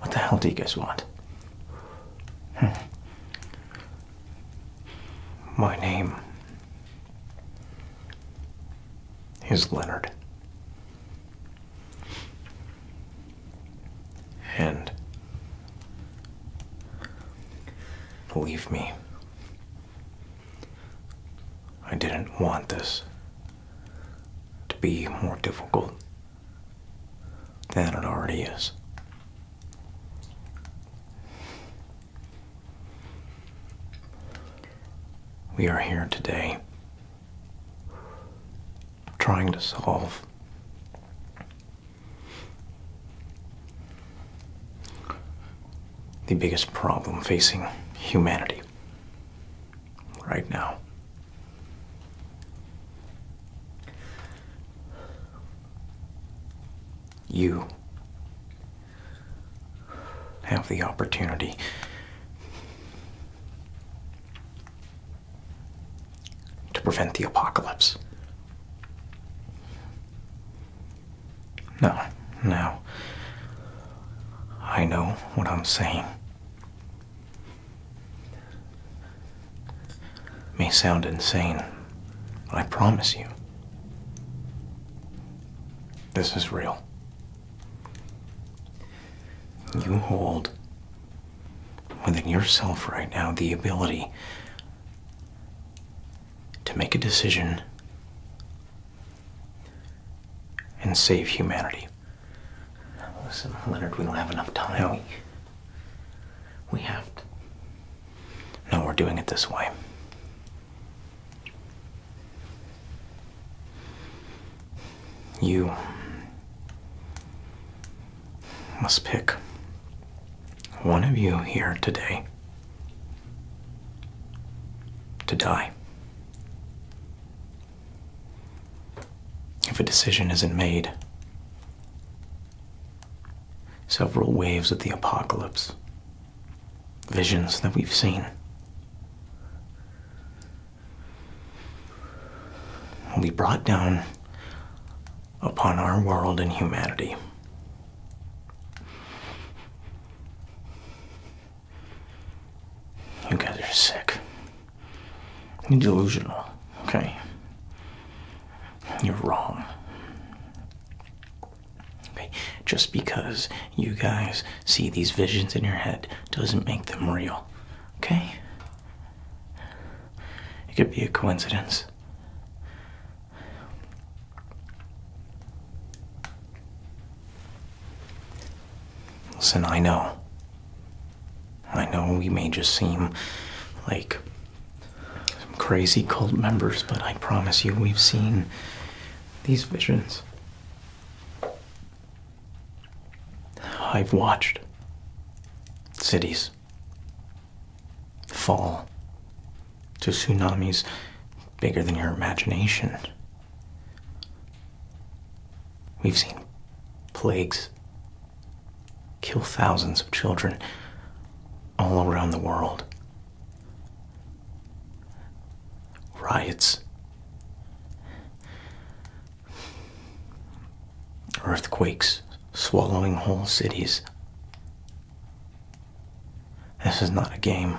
What the hell do you guys want? Hmm. My name is Leonard. And believe me, I didn't want this to be more difficult than it already is. We are here today trying to solve the biggest problem facing humanity right now. You have the opportunity to prevent the apocalypse. No, now I know what I'm saying. May sound insane, but I promise you, this is real. You hold within yourself right now the ability to make a decision and save humanity. Listen, Leonard, we don't have enough time. we have to. No, we're doing it this way. You must pick one of you here today to die. If a decision isn't made, Several waves of the apocalypse. Visions that we've seen. Will be brought down upon our world and humanity. You guys are sick. You're delusional, okay? You're wrong. Okay? Just because you guys see these visions in your head doesn't make them real. Okay? It could be a coincidence. Listen, I know. I know we may just seem like some crazy cult members, but I promise you, we've seen these visions. I've watched cities fall to tsunamis bigger than your imagination. We've seen plagues kill thousands of children all around the world. Riots, earthquakes swallowing whole cities. This is not a game.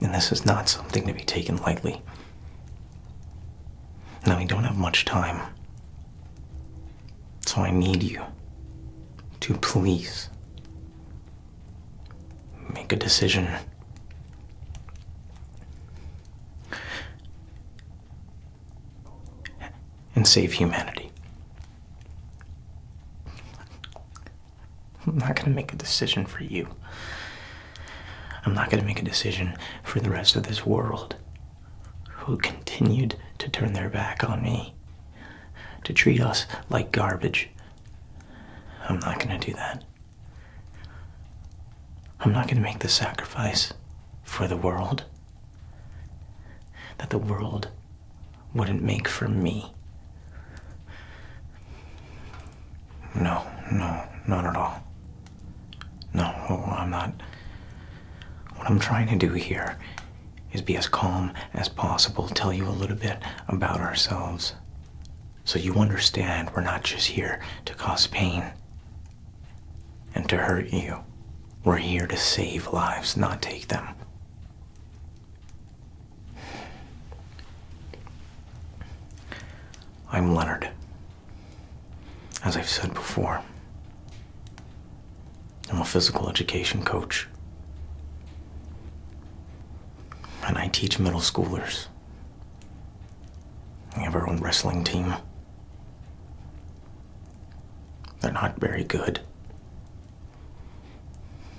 And this is not something to be taken lightly. Now, we don't have much time so I need you to please make a decision. And save humanity. I'm not going to make a decision for you. I'm not going to make a decision for the rest of this world who continued to turn their back on me, to treat us like garbage. I'm not going to do that. I'm not going to make the sacrifice for the world that the world wouldn't make for me. No, no, not at all. No, I'm not. What I'm trying to do here is be as calm as possible, tell you a little bit about ourselves. So you understand we're not just here to cause pain and to hurt you. We're here to save lives, not take them. I'm Leonard. As I've said before, I'm a physical education coach. And I teach middle schoolers. We have our own wrestling team. They're not very good.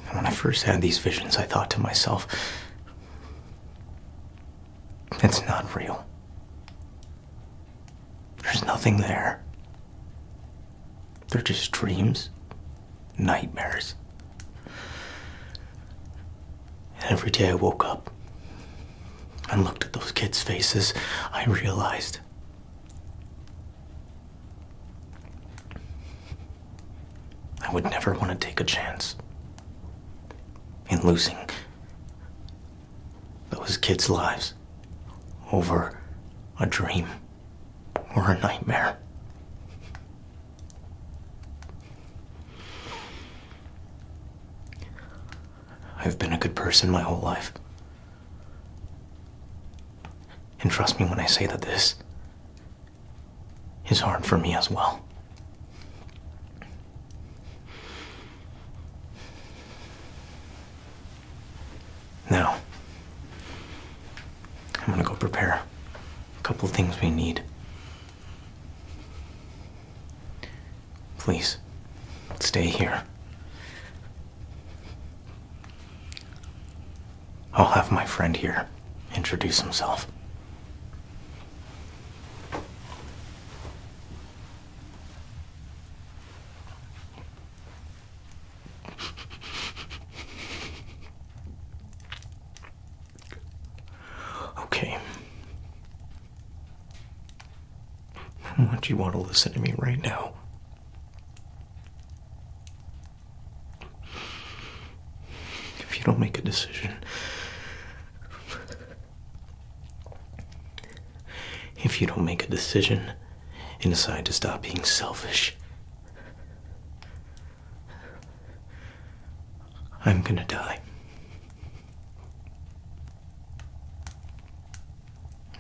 And when I first had these visions, I thought to myself, it's not real. There's nothing there. They're just dreams, nightmares. every day I woke up and looked at those kids' faces, I realized I would never want to take a chance in losing those kids' lives over a dream or a nightmare. I've been a good person my whole life. And trust me when I say that this is hard for me as well. Now, I'm gonna go prepare a couple things we need. Please, stay here. I'll have my friend here introduce himself. Okay. do much you want to listen to me right now? If you don't make a decision, if you don't make a decision and decide to stop being selfish, I'm gonna die.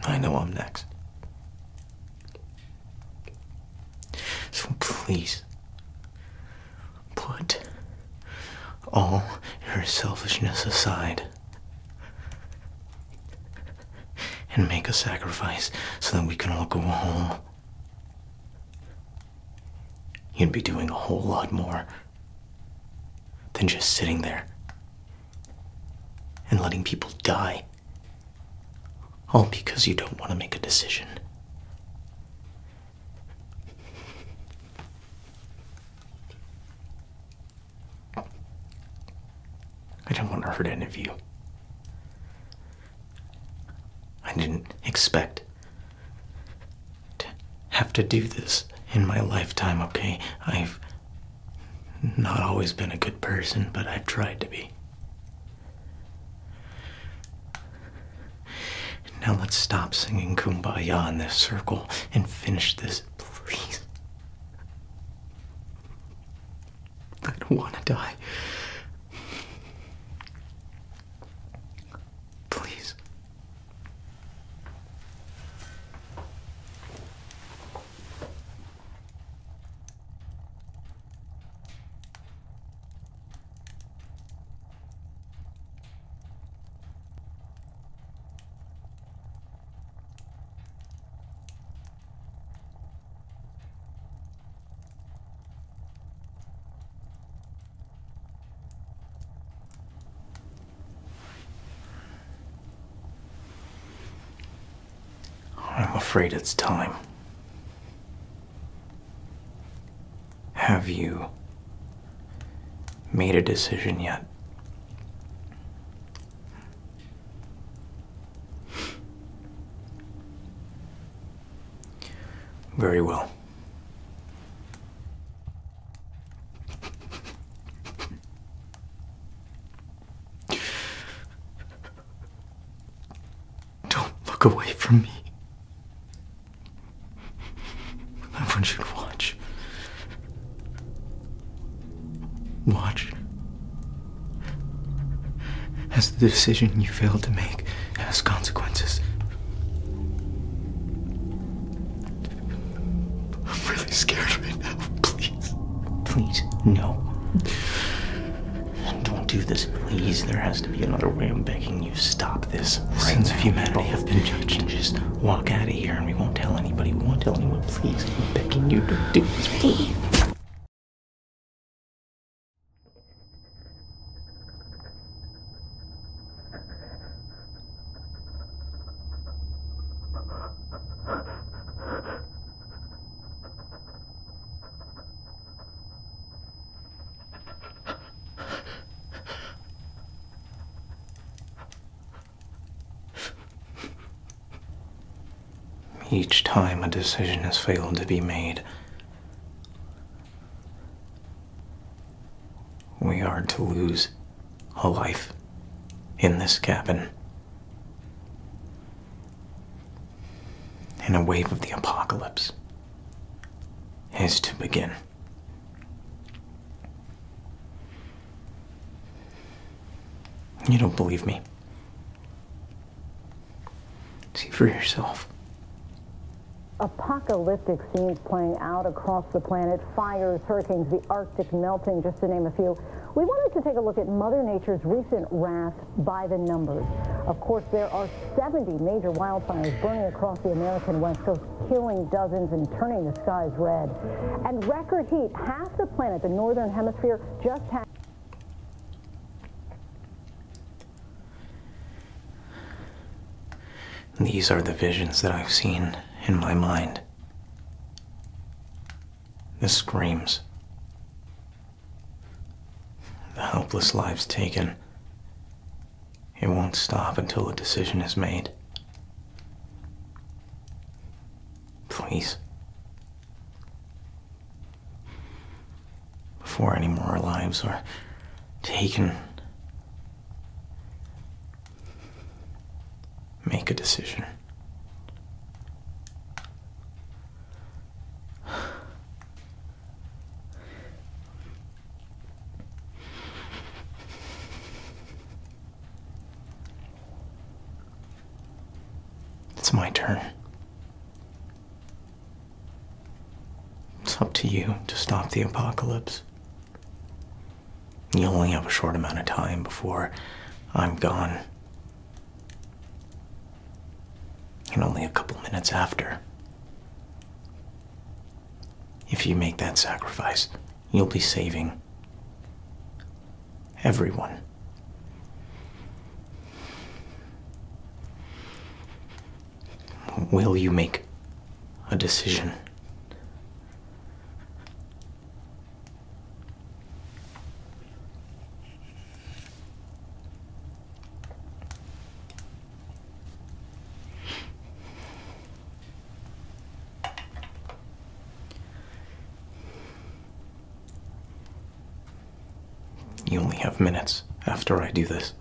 I know I'm next. So please put all your selfishness aside and make a sacrifice so that we can all go home. You'd be doing a whole lot more than just sitting there and letting people die. All because you don't want to make a decision. I do not want to hurt any of you. I didn't expect to have to do this in my lifetime, okay? I've not always been a good person, but I've tried to be. Now let's stop singing Kumbaya in this circle and finish this please, I don't want to die. Please. Oh, I'm afraid it's time. Have you made a decision yet. Very well. Don't look away from me. Everyone should watch. Watch as the decision you failed to make has consequences. I'm really scared right now. Please. Please, no. Don't do this, please. There has to be another way. I'm begging you. Stop this. sense of humanity just walk out of here and we won't tell anybody. We won't tell anyone. Please, I'm begging you to do this. Please. Each time a decision has failed to be made, we are to lose a life in this cabin. And a wave of the apocalypse is to begin. You don't believe me. See for yourself. Apocalyptic scenes playing out across the planet, fires, hurricanes, the Arctic melting, just to name a few. We wanted to take a look at Mother Nature's recent wrath by the numbers. Of course, there are 70 major wildfires burning across the American West Coast killing dozens and turning the skies red. And record heat, half the planet, the northern hemisphere, just had. These are the visions that I've seen in my mind. The screams. The helpless lives taken. It won't stop until a decision is made. Please. Before any more lives are taken, make a decision. It's my turn. It's up to you to stop the apocalypse. You only have a short amount of time before I'm gone. And only a couple minutes after. If you make that sacrifice, you'll be saving everyone. Will you make a decision? You only have minutes after I do this.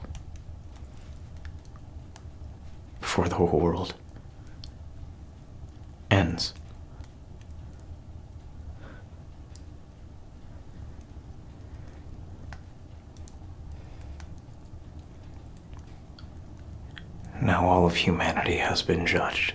Before the whole world ends. Now all of humanity has been judged.